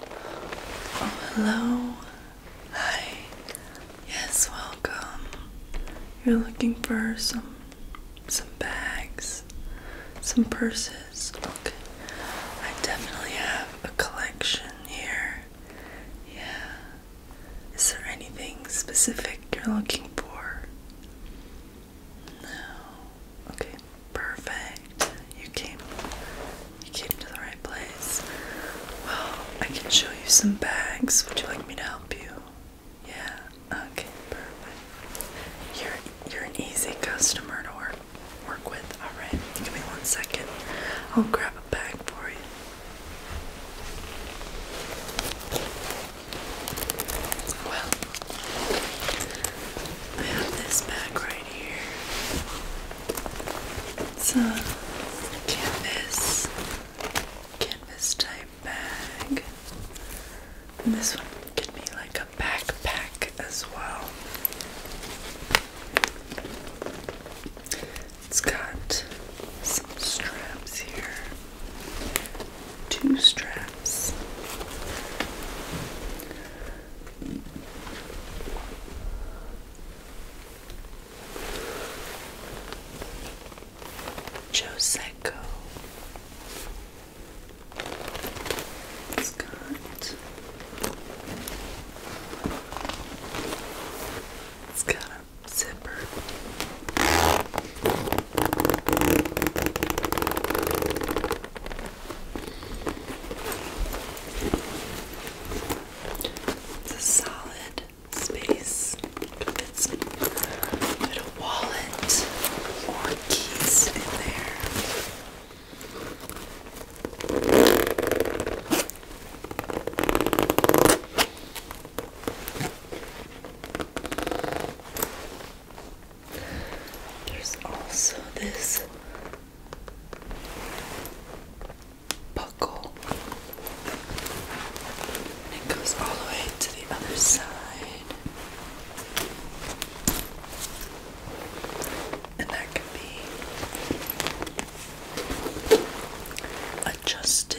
Oh, hello. Hi. Yes, welcome. You're looking for some some bags, some purses. Okay. I definitely have a collection here. Yeah. Is there anything specific you're looking for? No. Okay, perfect. You came you came to the right place. Well, I can show you some bags. Would you like me to help you? Yeah. Okay, perfect. You're you're an easy customer to work work with. Alright, give me one second. I'll grab a bag for you. Well, I have this bag right right It's a canvas, canvas type bag. And this one can be like a backpack as well. It's got some straps here. Two straps. Joseco. It's got it's got a zipper. It's a solid space. It's a bit wallet or keys in there. There's also this buckle. it goes all the way to the other side. And that can be adjusted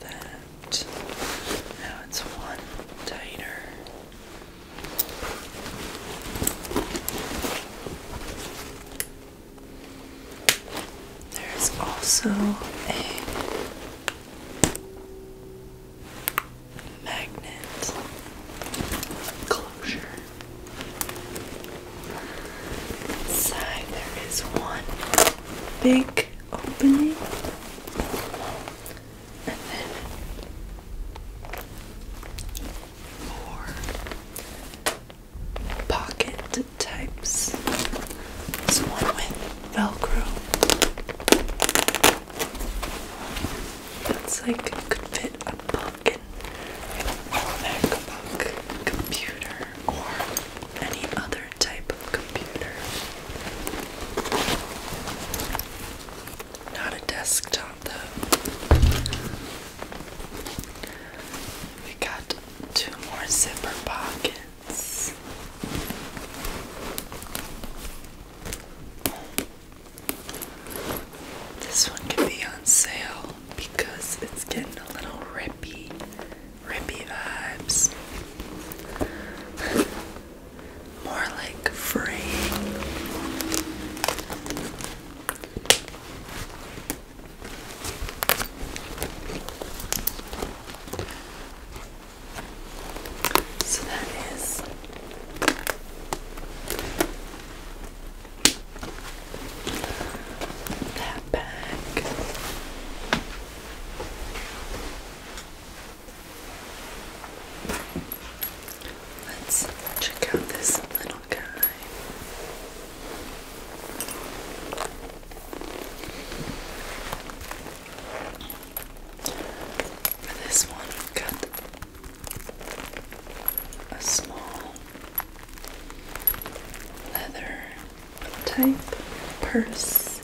that. Now it's one tighter. There's also a magnet closure. Inside there is one big opening and then more pocket types. This one with velcro it's like could fit a book and a MacBook computer or any other type of computer. Not a desktop though. We got two more zipper pockets. This one could be on sale because it's getting a little rippy, rippy vibes. More like free. So that is that bag. Let's check out this little guy. For this one, we've got a small leather type purse,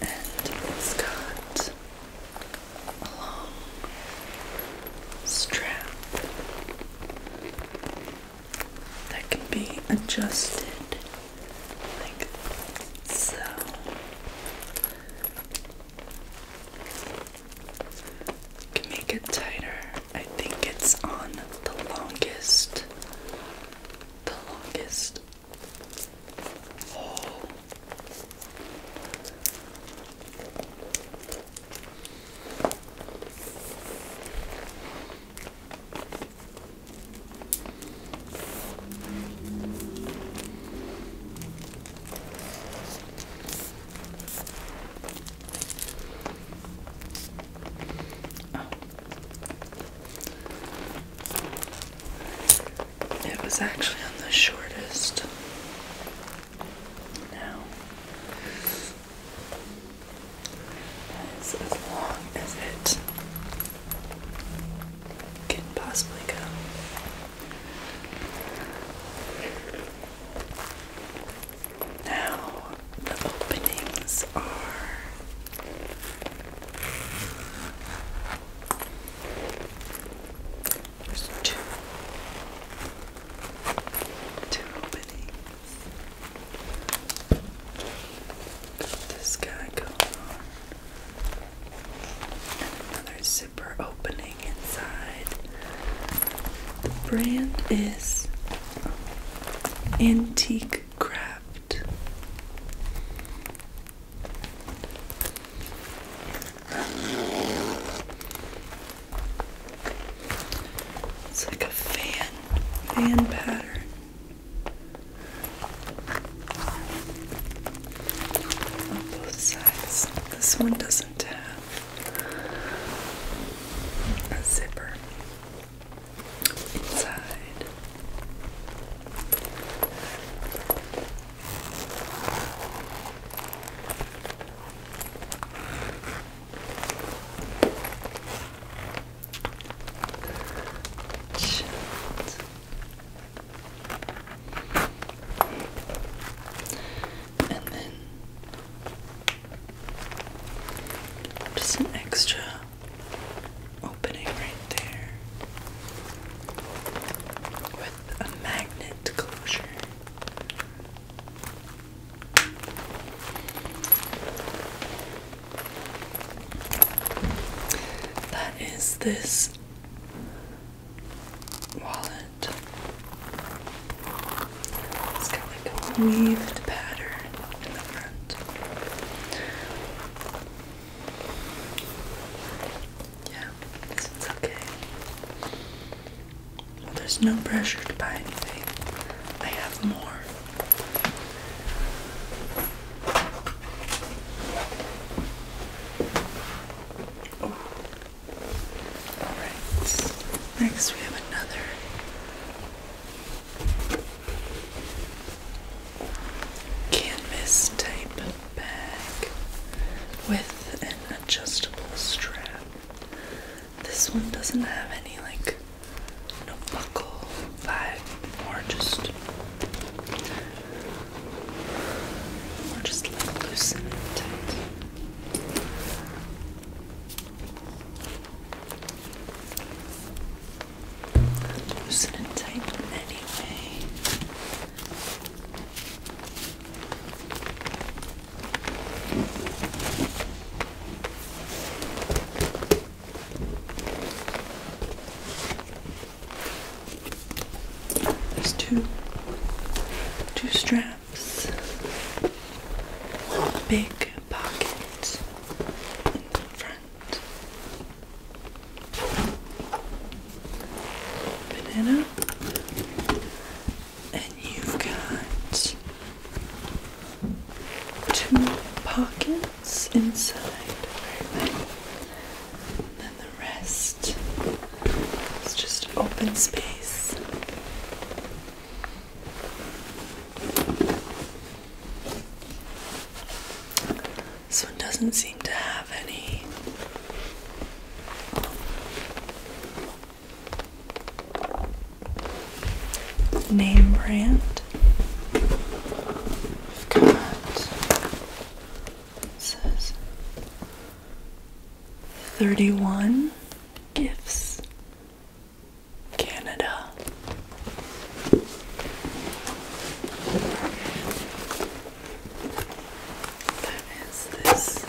and it's got a long strap that can be adjusted so. can make it tighter. I think it's on the longest, the longest hole. Oh. It was actually on the shortest. Now, that is as long as it could possibly go. Now, the openings are there's two, two openings. Got this guy going on. Another zipper opening inside. The brand is Antique Craft. It's like a fan, fan pattern on both sides. This one doesn't have a zipper inside. Shit. And then just an extra opening right there with a magnet closure. That is this wallet. It's got like a weaved pattern in the front. Yeah, this one's okay. there's no pressure to buy anything. I have more. Next we have another canvas type bag with an adjustable strap. This one doesn't have any like no buckle vibe, more just just loosen it tight. Loosen it tight anyway. There's two two straps. One big pocket in the front. Banana. And you've got two pockets what's inside. Very well. And then the rest is just open space. This one doesn't seem to have any. Name brand. We've got it says 31 Gifts Canada. That is this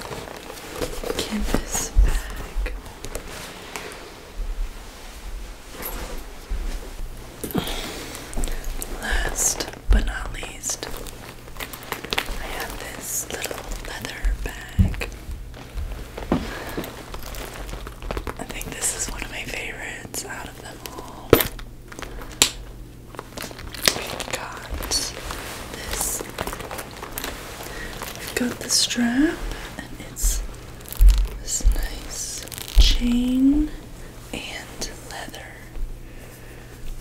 canvas bag. Last but not least, I have this little leather bag. I think this is one of my favorites out of them all. we got this. We've got the strap, and it's this nice chain and leather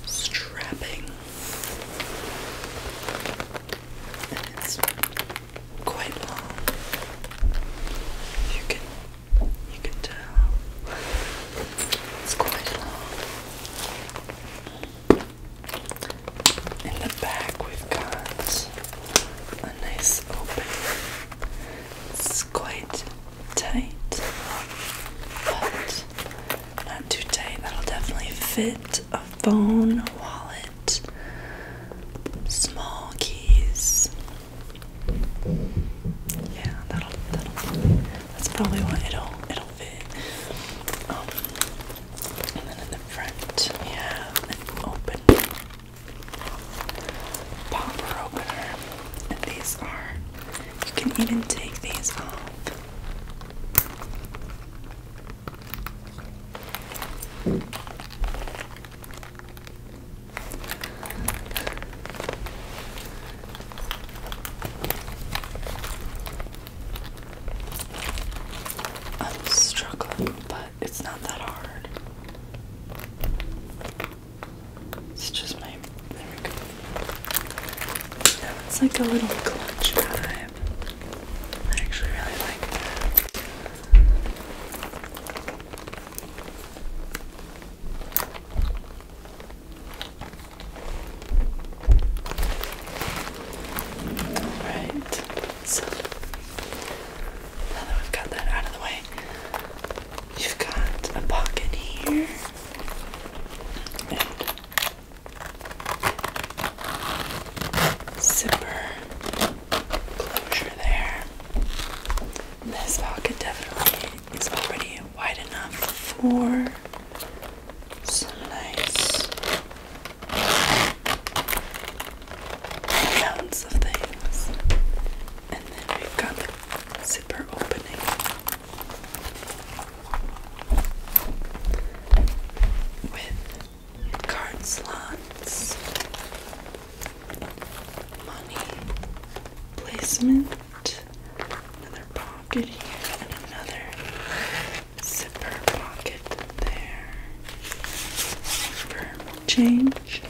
strapping. And it's quite long. You can you can tell. It's quite long. In the back we've got a nice open. It's quite tight, but not too tight. That'll definitely fit a phone, wallet, small keys. Yeah, that'll that'll. That's probably what it'll it'll fit. Um, and then in the front we have an open popper opener. these are, you can even take these off. I'm struggling, but it's not that hard. It's just my. There we go. Yeah, it's like a little clutch vibe. I actually really like that. Alright, so now that we've got that out of the way, You've got a pocket here. And zipper closure there. This pocket definitely is already wide enough for some nice amounts of things. And then we've got zipper opening. With card slots, money placement, another pocket here, another zipper pocket there for change.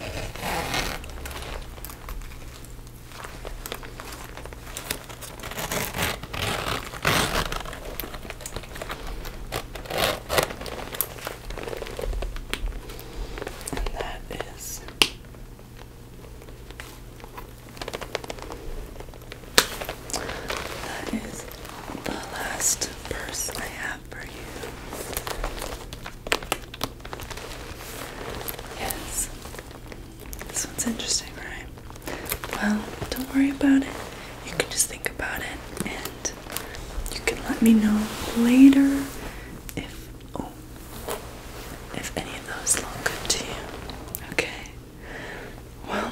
And that is that is the last purse I have for you. Yes. This one's interesting, right? Well, don't worry about it. You can just think about it and you can let me know later if oh if any of those look good to you. Okay. Well,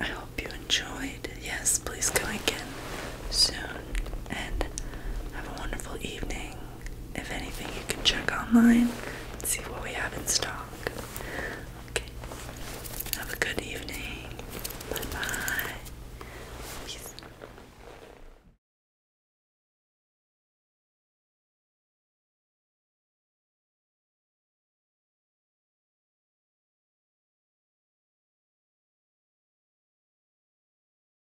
I hope you enjoyed. Yes, please come again soon and have a wonderful evening if anything, you can check online see what we have in stock. Okay. Have a good evening. Bye bye. Peace.